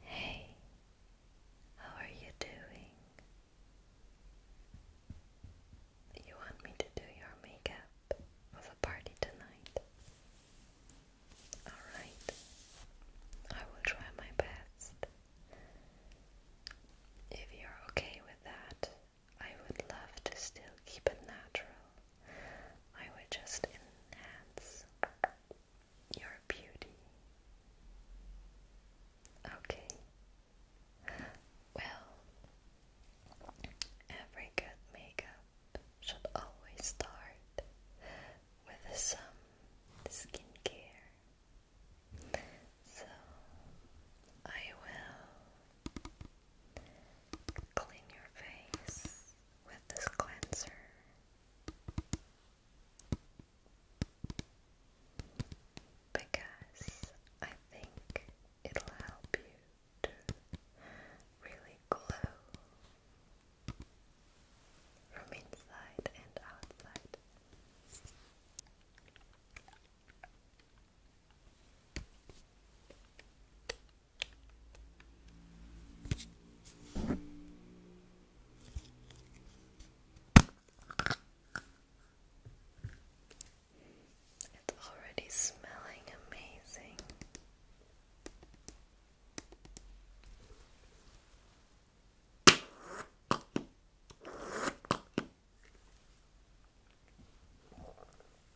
Hey, how are you doing? You want me to do your makeup for the party tonight? Alright, I will try my best. If you're okay with that, I would love to still keep it natural. I will just enhance your beauty. Okay. Well, every good makeup should always start with some skincare. So I will clean your face with this cleanser. Because I think it'll help you to really glow from inside and outside. It's already smelling amazing.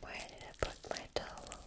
Where did I put my towel?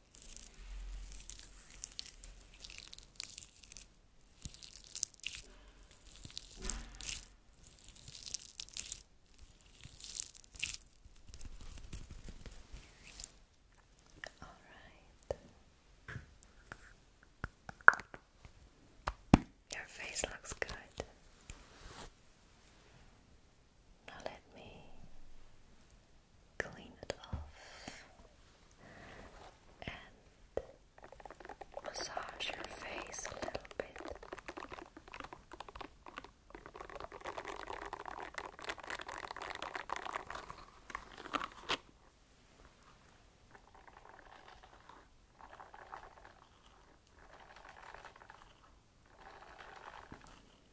All right. Your face looks good. Now let me clean it off and massage your face a little bit. The other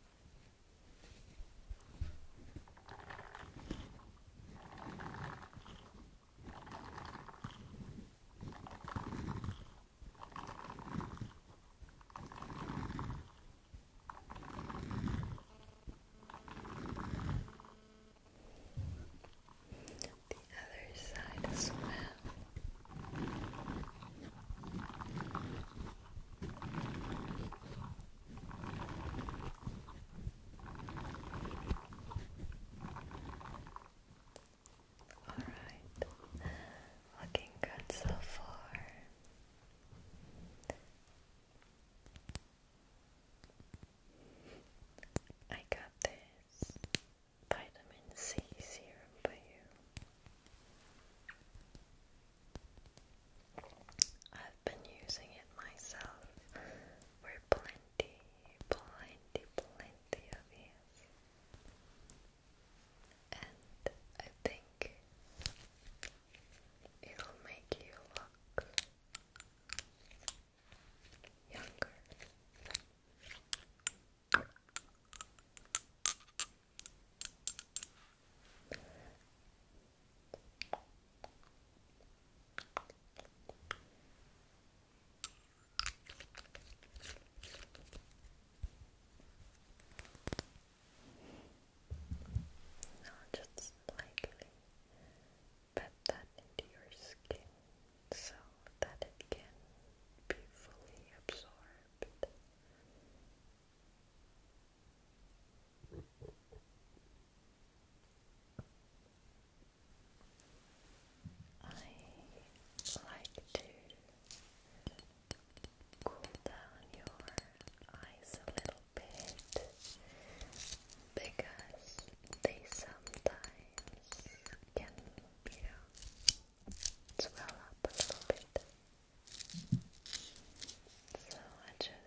side as well. Alright, looking good so far. I got this vitamin C serum for you. I've been using it myself for plenty, plenty, plenty of years. And I think it'll make you look younger. Now just slightly pat that into your skin so that it can be fully absorbed. I like to cool down your eyes a little bit because they sometimes can, you uh, know, swell up a little bit. So I just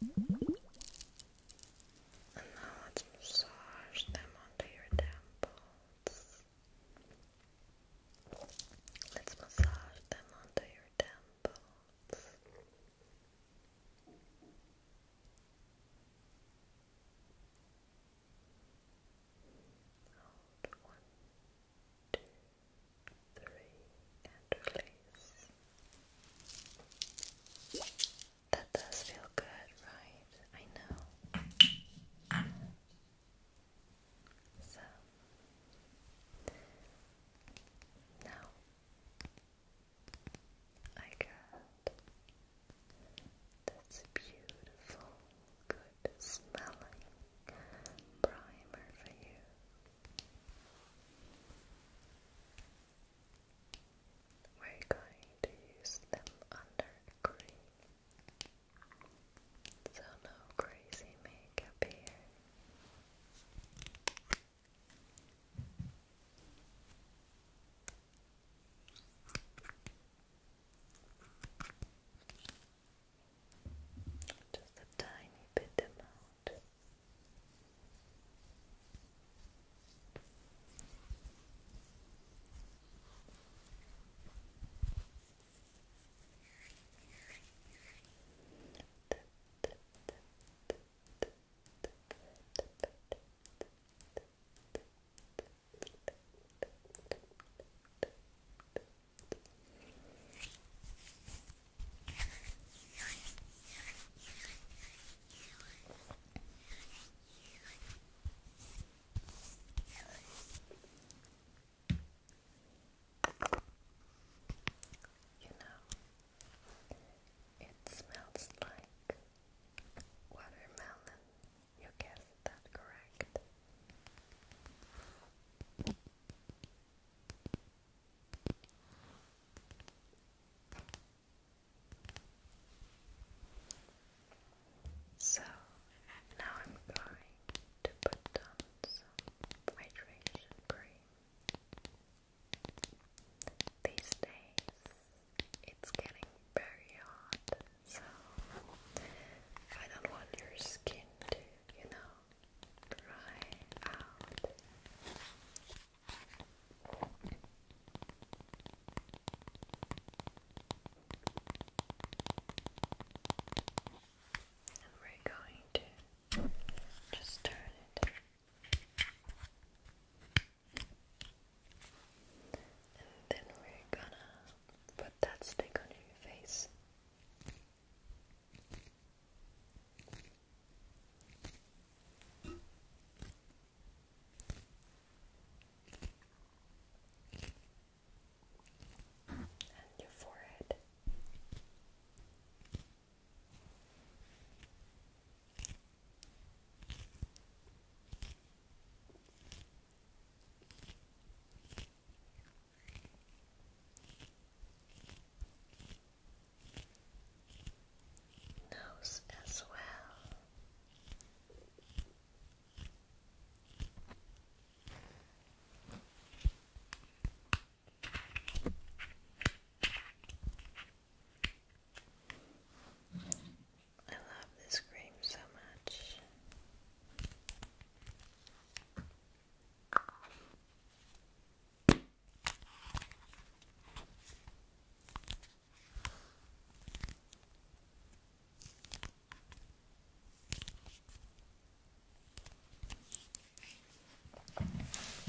and now let's massage them onto your temples. Let's massage them onto your temples. Hold one, two, three, and release. That does feel good, right? I know. So now I got this beautiful, good smelling primer for you. We're going to use them under green. So no crazy makeup here. Just a tiny bit amount. You know, it smells like watermelon. You guessed that correct. So now I'm going to put down some hydration cream. These days it's getting very hot, so I don't want your skin to, you know, dry out. And we're going to just turn it and then we're gonna put that stick on your face. And your forehead nose as well. I love this cream so much.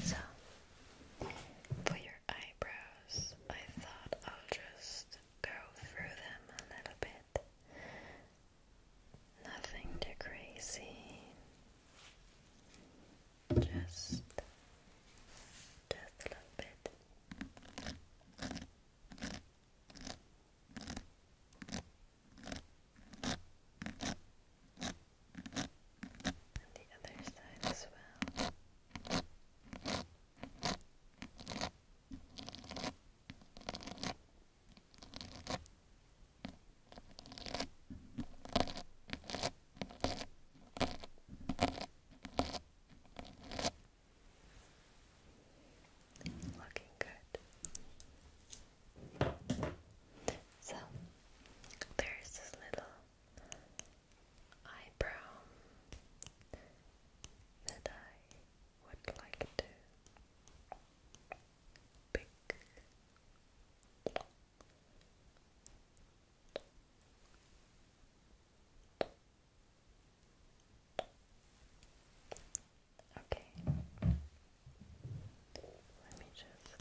So, for your eyebrows, I thought I'll just go through them a little bit Nothing too crazy. Just just a little bit. And the other side as well. Looking good. So there's this little eyebrow that I would like to Pick. Okay. Let me just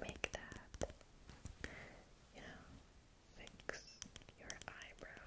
make that, you know, fix your eyebrow.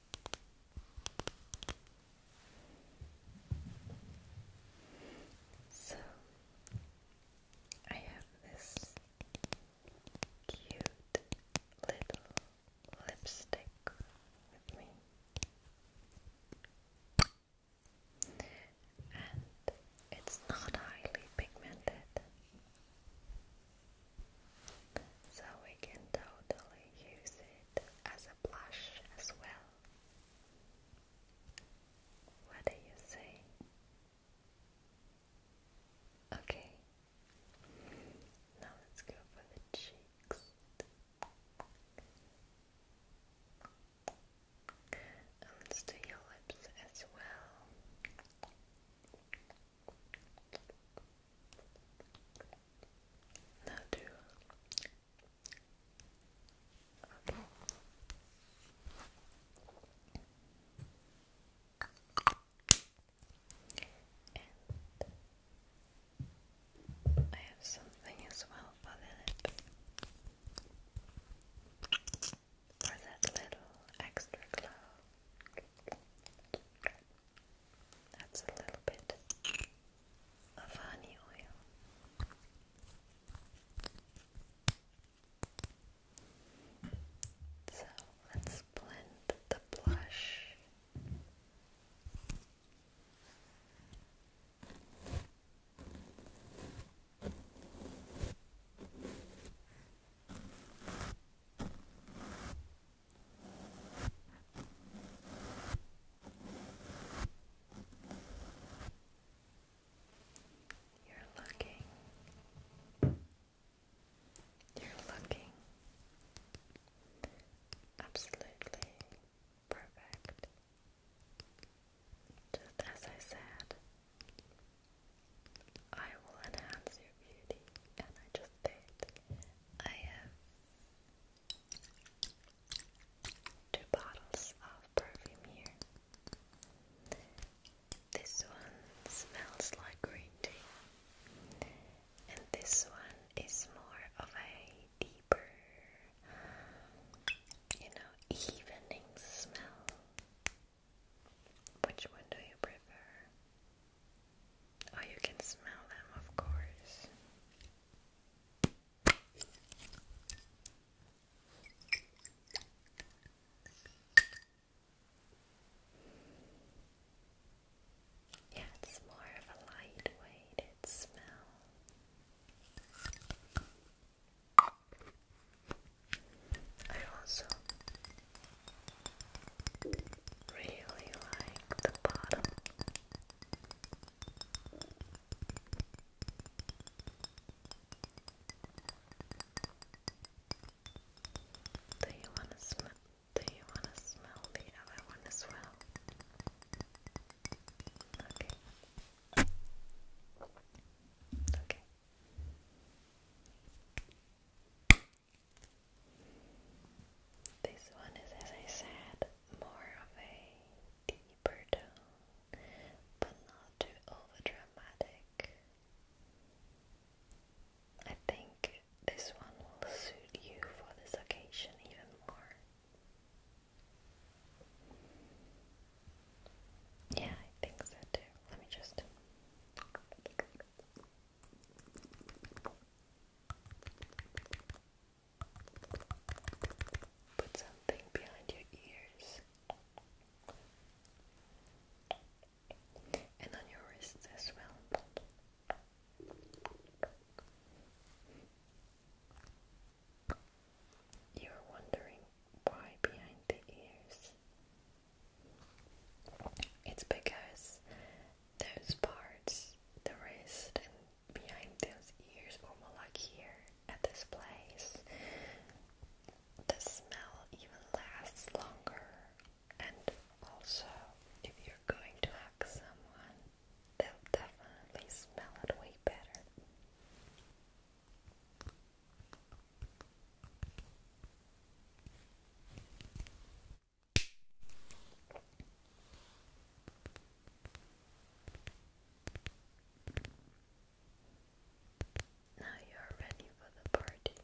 So I have this cute little lipstick with me. And it's not highly pigmented, so we can totally use it as blush as well. What do you say? Okay. Now let's go for the cheeks. And let lips as well. Now do. I have something as well for the lip. For that little extra glow. That's a little bit of honey oil. So let's blend the blush. You're looking. You're looking absolutely perfect. Just as I said, I will enhance your beauty, and I just did. I have Two bottles of perfume here. This one smells like green tea, and this one is more of a deeper, you know, evening smell. Which one do you prefer? Oh, you can smell them, of course. Yeah, it's more of a lightweighted smell. I also Really like the bottom. Do you want to smell? Do you want to smell the other one as well? Okay. Okay. This one is, as I said, more of a deeper tone, but not too overdramatic. I think this one will suit you for this occasion even more. Yeah, I think so too. Let me just. Put something behind your ears and on your wrists as well. You're wondering why behind the ears? It's because those parts, the wrist and behind those ears, or more like here at this place, the smell even lasts longer. And also, if you're going to hug someone, they'll definitely smell it way better. Now you're ready for the party.